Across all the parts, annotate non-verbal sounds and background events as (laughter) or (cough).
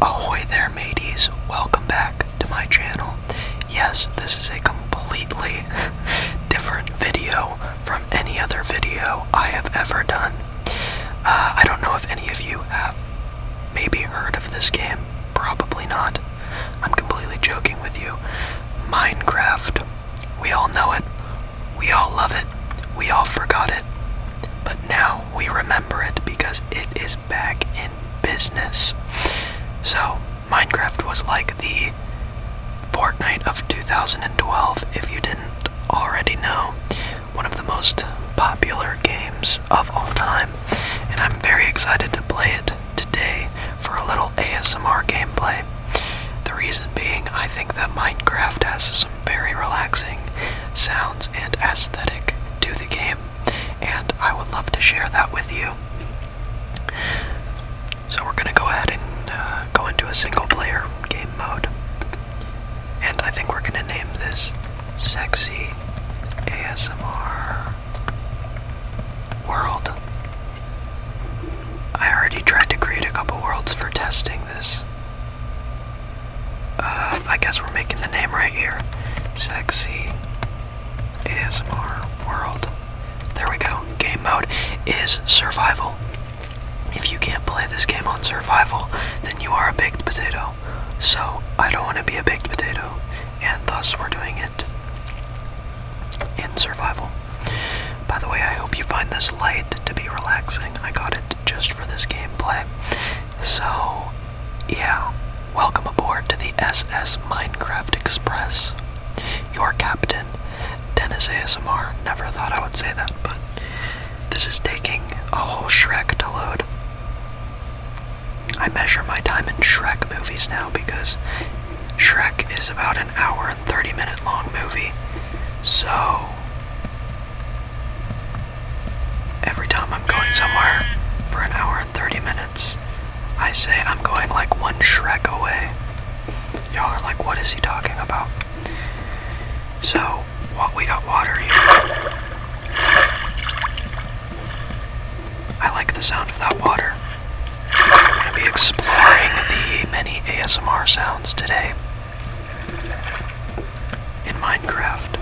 Ahoy there mateys, welcome back to my channel. Yes, this is a completely (laughs) different video from any other video I have ever done. Uh, I don't know if any of you have maybe heard of this game, probably not. I'm completely joking with you. Minecraft. We all know it, we all love it, we all forgot it. But now we remember it because it is back in business. So, Minecraft was like the Fortnite of 2012, if you didn't already know. One of the most popular games of all time, and I'm very excited to play it today for a little ASMR gameplay. The reason being, I think that Minecraft has some very relaxing sounds and aesthetic to the game, and I would love to share that with you. So, we're gonna go ahead and uh, go into a single player game mode, and I think we're gonna name this Sexy ASMR World. I already tried to create a couple worlds for testing this. Uh, I guess we're making the name right here. Sexy ASMR World. There we go. Game mode is survival. If you can't play this game on survival, then you are a baked potato. So, I don't want to be a baked potato, and thus we're doing it in survival. By the way, I hope you find this light to be relaxing. I got it just for this gameplay. So, yeah, welcome aboard to the SS Minecraft Express. Your captain, Dennis ASMR. Never thought I would say that, but this is taking a whole Shrek to load. I measure my time in Shrek movies now because Shrek is about an hour and 30 minute long movie. So, Every time I'm going somewhere for an hour and 30 minutes, I say I'm going like one Shrek away. Y'all are like, what is he talking about? So, what we got water here. I like the sound of that water. We're gonna be exploring the many ASMR sounds today in Minecraft.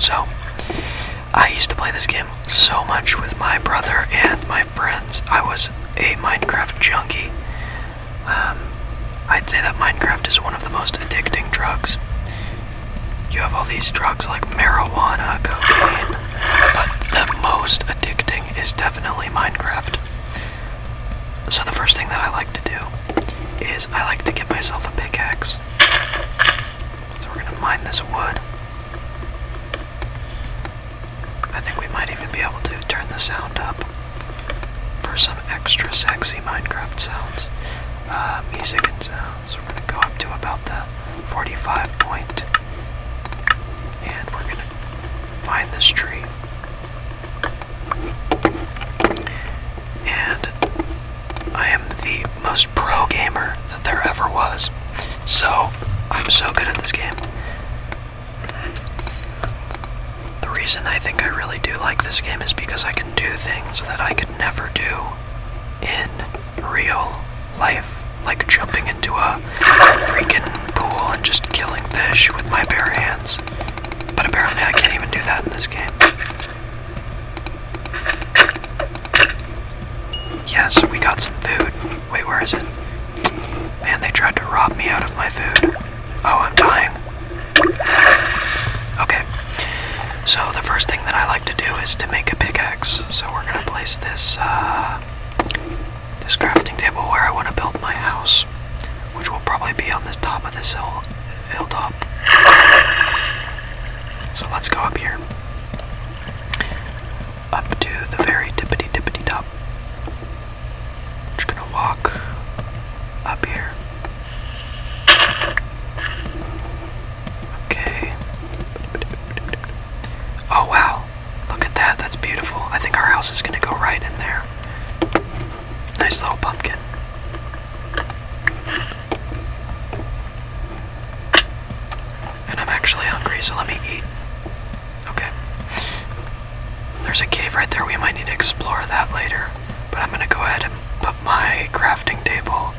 So, I used to play this game so much with my brother and my friends. I was a Minecraft junkie. Um, I'd say that Minecraft is one of the most addicting drugs. You have all these drugs like marijuana, cocaine, but the most addicting is definitely Minecraft. So, the first thing that I like to do is I like to get myself a pickaxe. So, we're gonna mine this wood. I think we might even be able to turn the sound up for some extra sexy Minecraft sounds, uh, music and sounds. So, we're gonna go up to about the 45 point, and we're gonna find this tree. And I am the most pro gamer that there ever was. So, I'm so good at this game. The reason I think I really do like this game is because I can do things that I could never do in real life, like jumping into a freaking pool and just killing fish with my bare hands. But apparently I can't even do that in this game. Yes, we got some food. Wait, where is it? Man, they tried to rob me out of my food. Oh, I'm dying. Okay. So the first thing that I like to do is to make a pickaxe. So we're gonna place this uh, this crafting table where I want to build my house which will probably be on the top of this hill hilltop. So let's go up here. Up to the very tippity tippity top. Just gonna walk up here. Okay. Oh wow. Look at that. That's beautiful. I think our house is gonna go right in there. Nice little pumpkin. And I'm actually hungry, so let me eat. Okay. There's a cave right there. We might need to explore that later. But I'm gonna go ahead and put my crafting table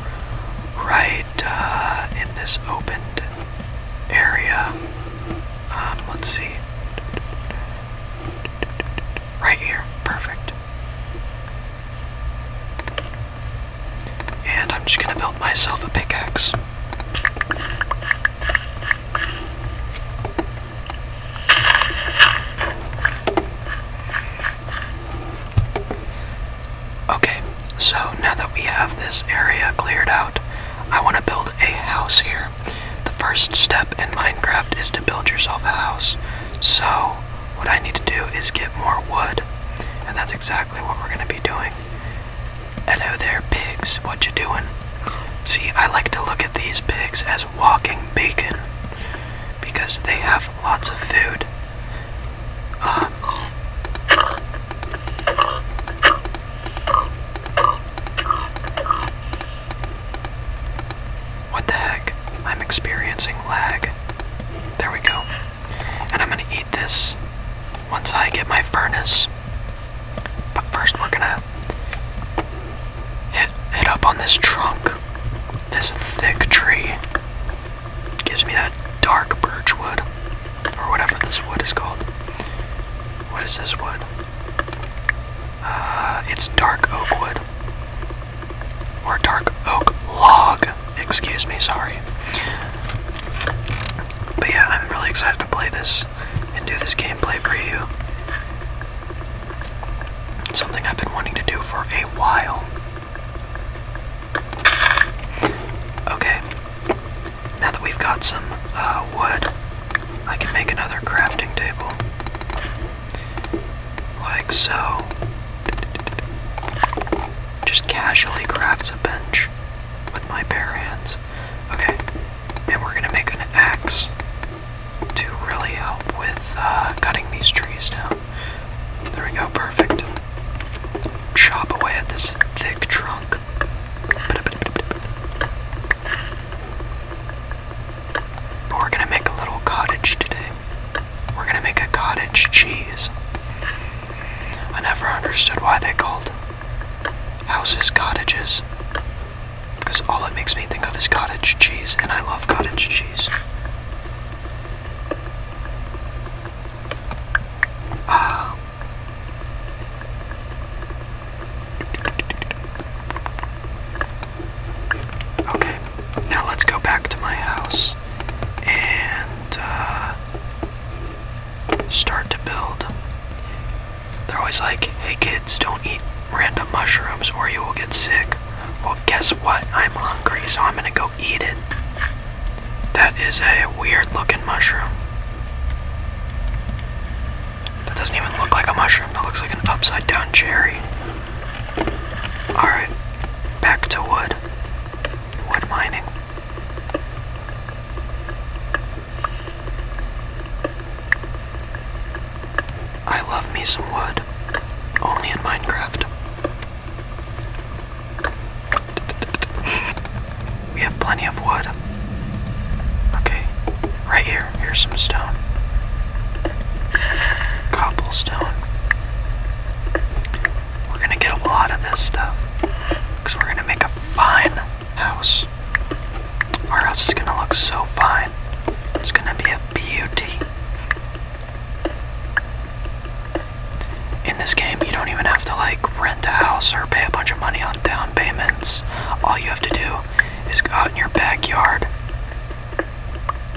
right uh, in this opened area. Um, let's see. Right here, perfect. And I'm just gonna build myself a pickaxe. Okay, so now that we have this area cleared out, I want to build a house here. The first step in Minecraft is to build yourself a house. So, what I need to do is get more wood, and that's exactly what we're going to be doing. Hello there, pigs. What you doing? See, I like to look at these pigs as walking bacon because they have lots of food. Um, what the heck? I'm experiencing lag. There we go. And I'm gonna eat this once I get my furnace. But first we're gonna hit hit up on this trunk. This thick tree. Gives me that dark birch wood. Or whatever this wood is called. What is this wood? Uh, it's dark oak wood. Or dark oak log. Excuse me, sorry. But yeah, I'm really excited to play this and do this gameplay for you. something I've been wanting to do for a while. Okay, now that we've got some uh, wood, I can make another crafting table. Like so. Just casually crafts a bench with my bare hands. Okay, and we're gonna make an axe to really help with uh, cutting these trees down. There we go, perfect. Chop away at this thick trunk we're gonna make a little cottage today. We're gonna make a cottage cheese. I never understood why they called houses cottages. Because all it makes me think of is cottage cheese, and I love cottage cheese. Ah. Okay, now let's go back to my house and uh, start to build. They're always like, hey kids, don't eat random mushrooms or you will get sick. Well, guess what? I'm hungry, so I'm gonna go eat it. That is a weird looking mushroom. That doesn't even look like a mushroom. That looks like an upside down cherry. Alright, back to wood. Wood mining. I love me some wood. Only in Minecraft. (laughs) We have plenty of wood. Okay, right here. Here's some stone. Cobblestone. We're gonna get a lot of this stuff. we're gonna make a fine house. Our house is gonna look so fine. It's gonna be a beauty. In this game, you don't even have to like rent a house or pay a bunch of money on down payments. All you have to do is go out in your backyard,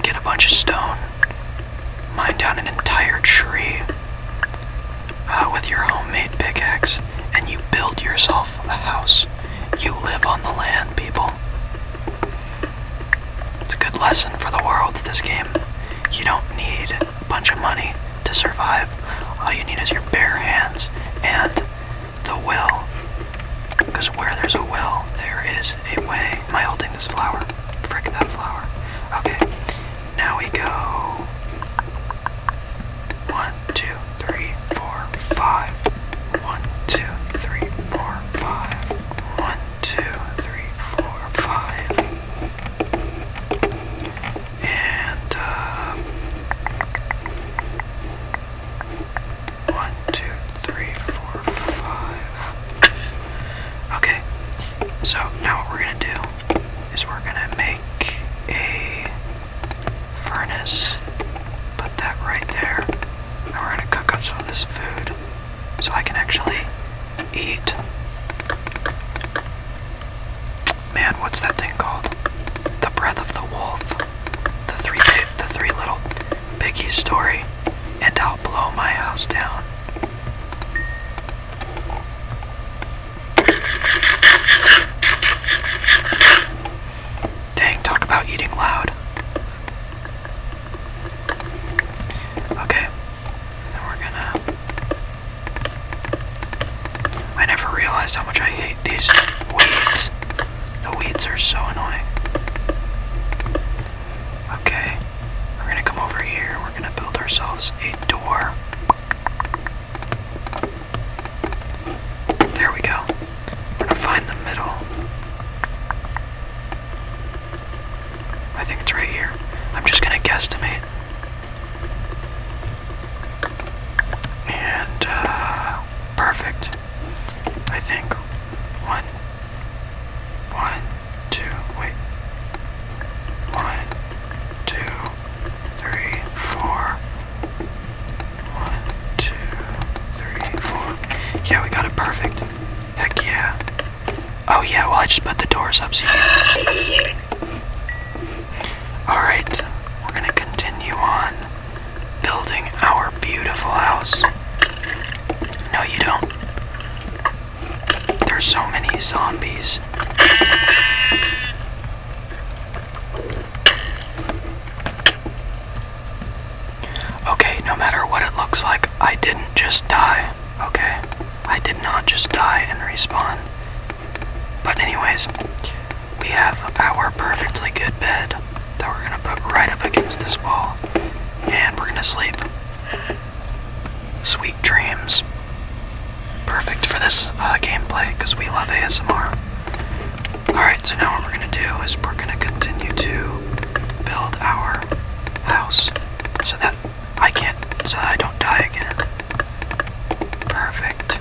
get a bunch of stone, mine down an entire tree uh, with your homemade pickaxe, and you build yourself a house. You live on the land, people. It's a good lesson for the world, this game. You don't need a bunch of money to survive. All you need is your bare hands and the will. Because where there's a will, there is a way. Am I holding this flower? Frick that flower. Okay, now we go. One, two, three, four, five. One, two, three, four, five. One, two, three, four, five. And uh, one, two, three, four, five. Okay, so now what we're gonna do is we're gonna make a furnace, put that right there, and we're gonna cook up some of this food so I can actually eat man, what's that thing called? The Breath of the Wolf, the three, the three little piggies story, and I'll blow my house down. Dang, talk about eating loud. Okay, we're gonna I never realized how much I hate these weeds. The weeds are so annoying. Okay, we're gonna come over here. We're gonna build ourselves a door. There we go. We're gonna find the middle. I think it's right here. I'm just gonna guesstimate. And uh, perfect. I think one, one, two, wait. One, two, three, four. One, two, three, four. Yeah, we got it perfect. Heck yeah. Oh yeah, well I just put the doors up so (laughs) Alright, we're gonna continue on building our beautiful house. No, you don't. There's so many zombies. Okay, no matter what it looks like, I didn't just die. Okay, I did not just die and respawn. But anyways, we have our perfectly good bed that we're gonna put right up against this wall, and we're gonna sleep. Sweet dreams. Perfect for this uh, gameplay because we love ASMR. Alright, so now what we're gonna do is we're gonna continue to build our house so that I can't, so I don't die again. Perfect.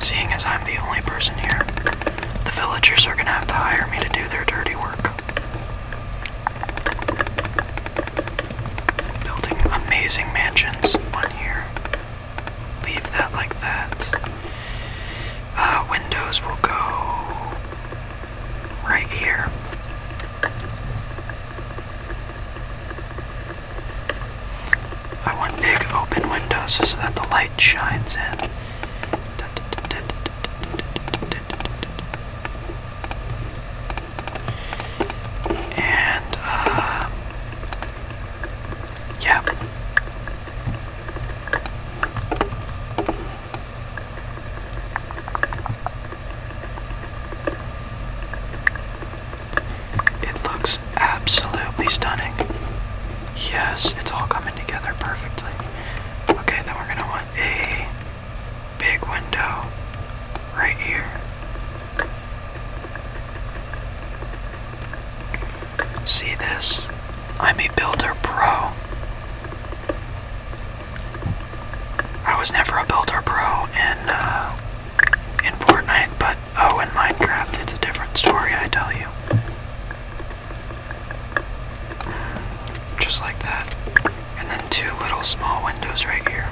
Seeing as I'm the only person here, the villagers are gonna have to hire me to do their dirty work. Building amazing mansions, one here. Leave that like that. Uh, windows will go right here. I want big open windows so that the light shines in. And, uh, yeah. It looks absolutely stunning. Yes, it's all coming together perfectly. Okay, then we're gonna want a big window right here. See this? I'm a builder pro. I was never a builder pro in uh, in Fortnite, but oh, in Minecraft, it's a different story, I tell you. Just like that. And then two little small windows right here.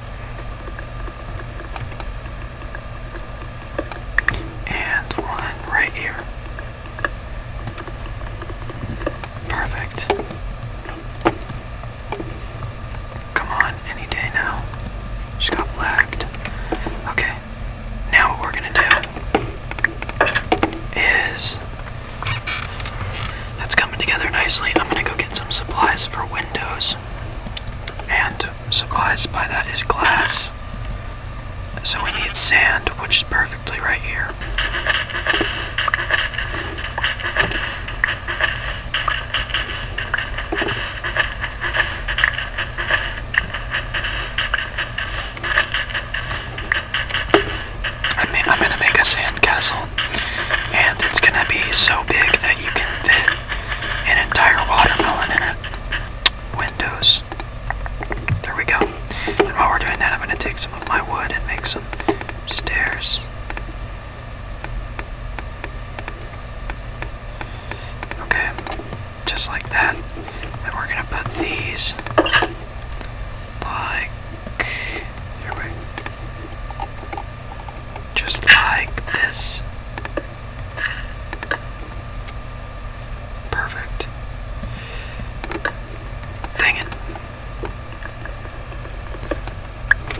And one right here. Perfect. Come on, any day now. She got blacked. Okay, now what we're gonna do is. That's coming together nicely. I'm gonna go get some supplies for windows. And supplies by that is glass. So we need sand, which is perfectly right here. I am gonna make a sandcastle, and it's gonna be so big that you can fit an entire watermelon in it. Windows. There we go. And while we're doing that, I'm gonna take some of my wood and make some stairs. Okay, just like that. And we're gonna put these like here we just like this. Perfect. Dang it.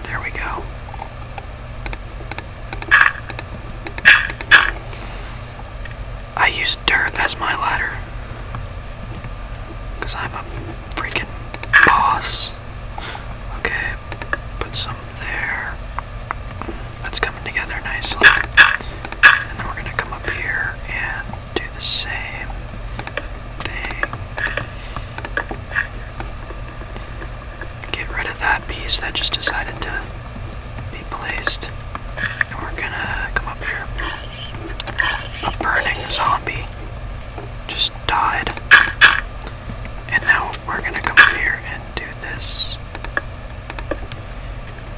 There we go. I use dirt as my ladder. Because I'm a freaking boss. Okay, put some there. That's coming together nicely. And then we're going to come up here and do the same thing get rid of that piece that just decided to be placed. And we're gonna come up here. A burning zombie just died. And now we're gonna come up here and do this.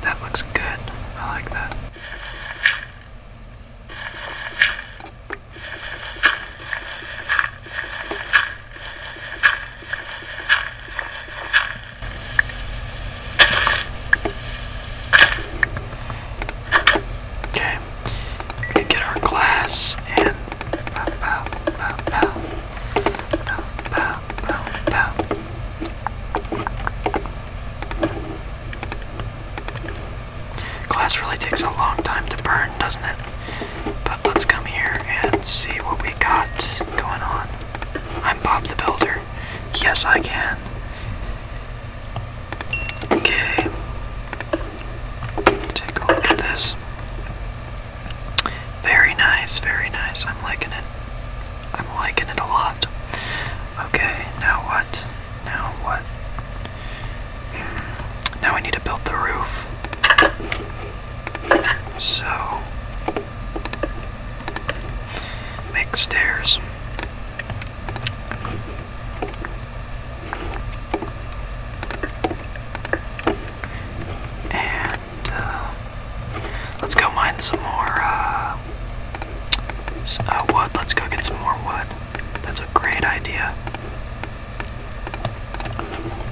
That looks good. I like that. Okay, we can get our glass and Glass really takes a long time to burn, doesn't it? But let's come here and see what we got going on. I'm Bob the Builder. Yes, I can. Okay. Take a look at this. Very nice, very nice. I'm liking it. I'm liking it a lot. Okay, now what? Now what? Now we need to build the roof. So, make stairs. And uh, let's go mine some more uh, uh Let's go get some more wood. That's a great idea.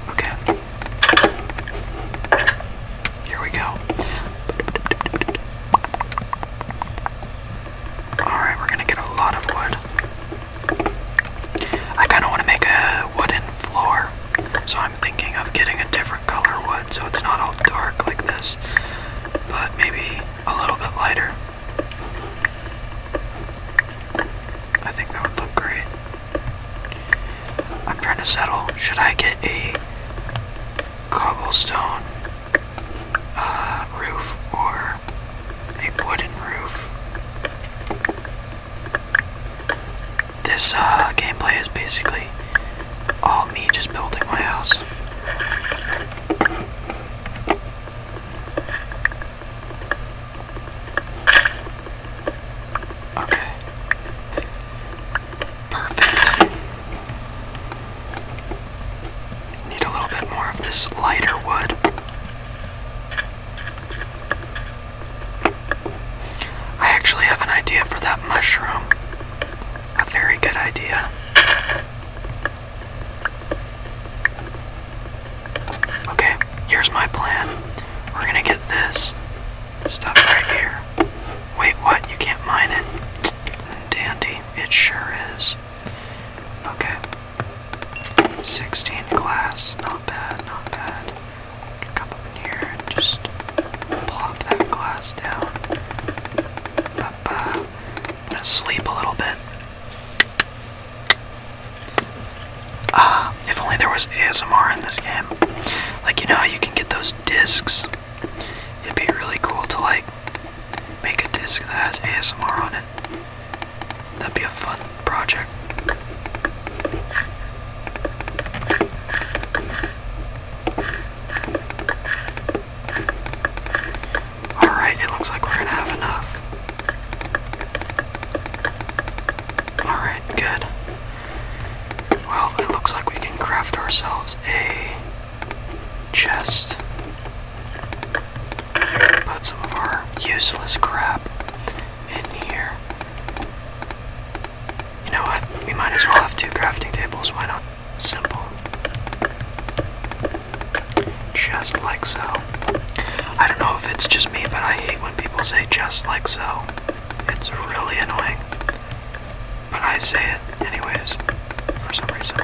Okay. Here we go. Alright, we're gonna get a lot of wood. I kinda wanna make a wooden floor, so I'm thinking of getting a different color wood so it's not all dark like this, but maybe a little bit lighter. I think that would look great. I'm trying to settle. Should I get a cobblestone uh, roof or a wooden roof? This uh, gameplay is basically all me just building my house. Okay. Perfect. Need a little bit more of this lighter wood. I actually have an idea for that mushroom. A very good idea. Okay, here's my plan. We're gonna get this stuff right here. Wait, what? You can't mine it? Dandy, it sure is. Okay. 16 glass, not bad, not bad. Come up in here and just plop that glass down. But, I'm gonna sleep a little bit. Ah, if only there was ASMR in this game. Like, you know how you can get those discs? It'd be really cool to, like, make a disc that has ASMR on it. That'd be a fun project. Alright, it looks like we're gonna have enough. Alright, good. Well, it looks like we can craft ourselves a chest. Put some of our useless crap in here. You know what? We might as well have two crafting tables, why not? Simple. Just like so. I don't know if it's just me, but I hate when people say just like so. It's really annoying. But I say it anyways, for some reason.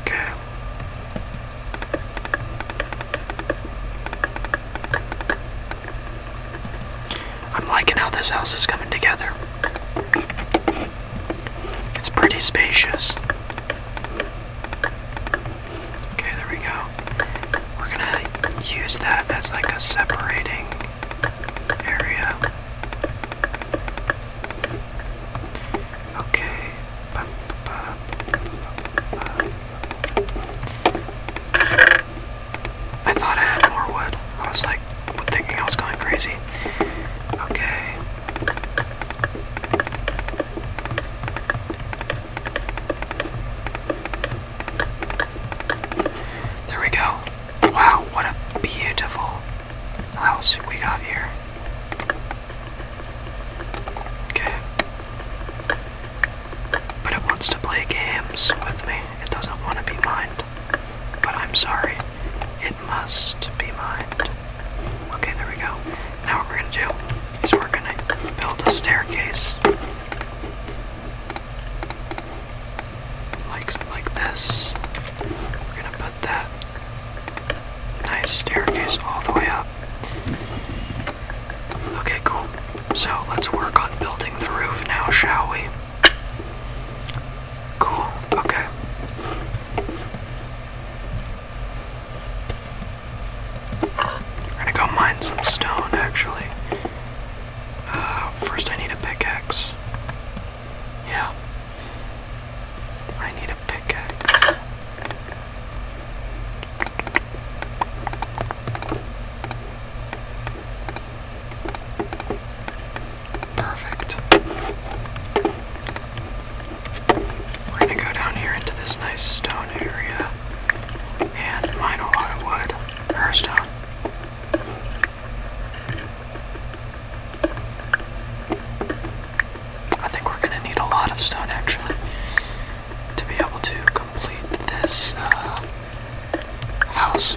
Okay. I'm liking how this house is coming together. It's pretty spacious. Okay, there we go. We're gonna use that as like a separating area. Okay. I thought I had more wood. I was like thinking I was going crazy. Okay. There we go. Wow, what a beautiful house we got here. Okay. But it wants to play games with me. It doesn't want to be mined. But I'm sorry. It must be mined. Okay, there we go. Now what we're gonna do is we're gonna build a staircase. Like like this. We're gonna put that nice staircase all the way up. Okay, cool. So let's work on building the roof now, shall we? Cool, okay. We're gonna go mine some stone actually. Uh, first, I need a pickaxe. Yeah. I need a pickaxe. Perfect. We're gonna go down here into this nice stone area and mine a lot of wood or stone. I think we're gonna need a lot of stone actually to be able to complete this uh, house.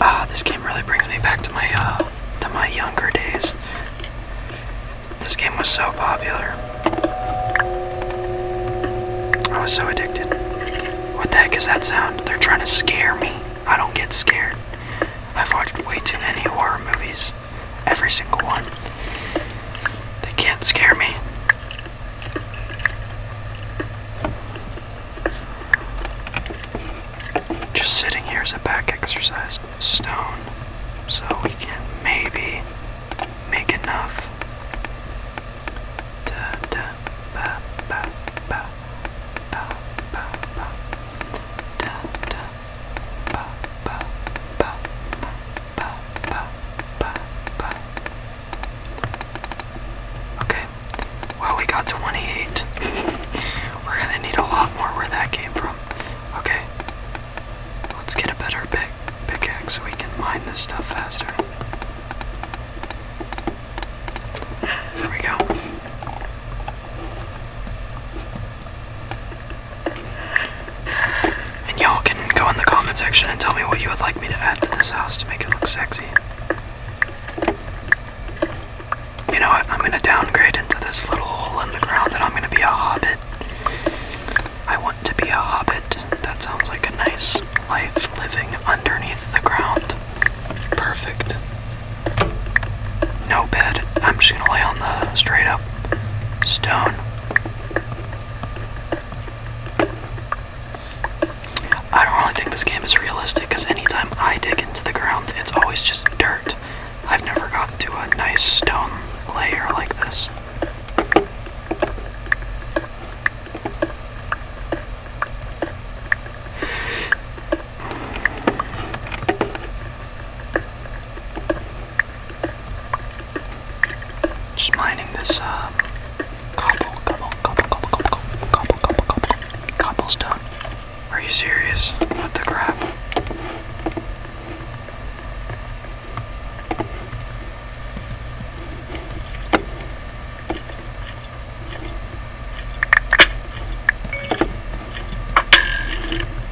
Ah, this game really brings me back to my uh, to my younger days. This game was so popular. I was so addicted. What the heck is that sound? They're trying to scare me. I don't get scared. I've watched way too many horror movies. Every single one. They can't scare me. Just sitting here is a back exercise. Stone. So we can maybe make enough. Okay. Well, we got 28. (laughs) We're gonna need a lot more where that came from. Okay. Let's get a better pick pickaxe so we can mine this stuff faster. There we go. And y'all can go in the comment section and tell me what you would like me to add to this house to make it look sexy. You know what? I'm gonna downgrade into this little hole in the ground and I'm gonna be a hobbit. I want to be a hobbit. That sounds like a nice life living underneath the ground. Perfect. No bed. I'm just gonna lay on the straight up stone. I don't really think this game is realistic because anytime I dig into the ground, it's always just dirt. I've never gotten to a nice stone layer like this. Just mining this uh cobble, cobble, cobble, cobble, cobble, cobble, cobble, cobble, cobblestone. Are you serious? What the crap?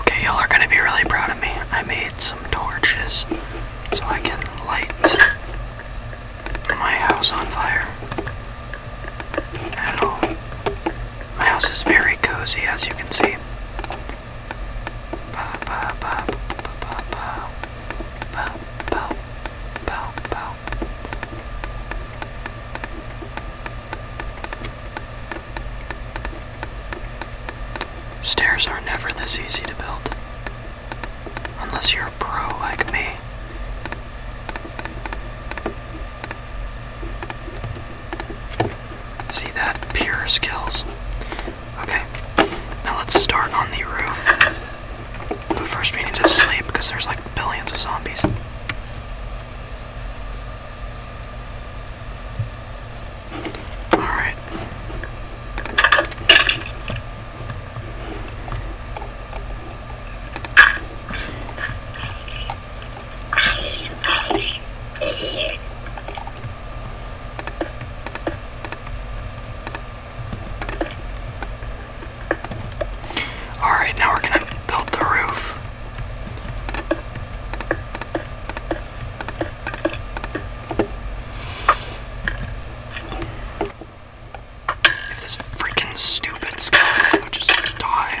Okay, y'all are gonna be really proud of me. I made some torches so I can light my house on fire. And it'll, my house is very cozy as you can see. Ba, ba, ba, ba, ba, Stairs are never this easy to build. Unless you're a pro like me. See that? Pure skills. Okay, now let's start on the roof. But first, we need to sleep because there's like billions of zombies. Alright. Alright, now we're gonna build the roof. If this freaking stupid skeleton just die.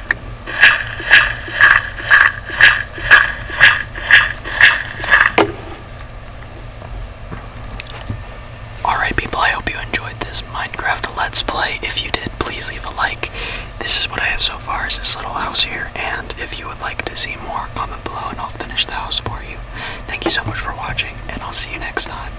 Alright, people, I hope you enjoyed this Minecraft Let's Play. If you did, please leave a like. This is what I have so far is this little house here, and if you would like to see more, comment below and I'll finish the house for you. Thank you so much for watching, and I'll see you next time.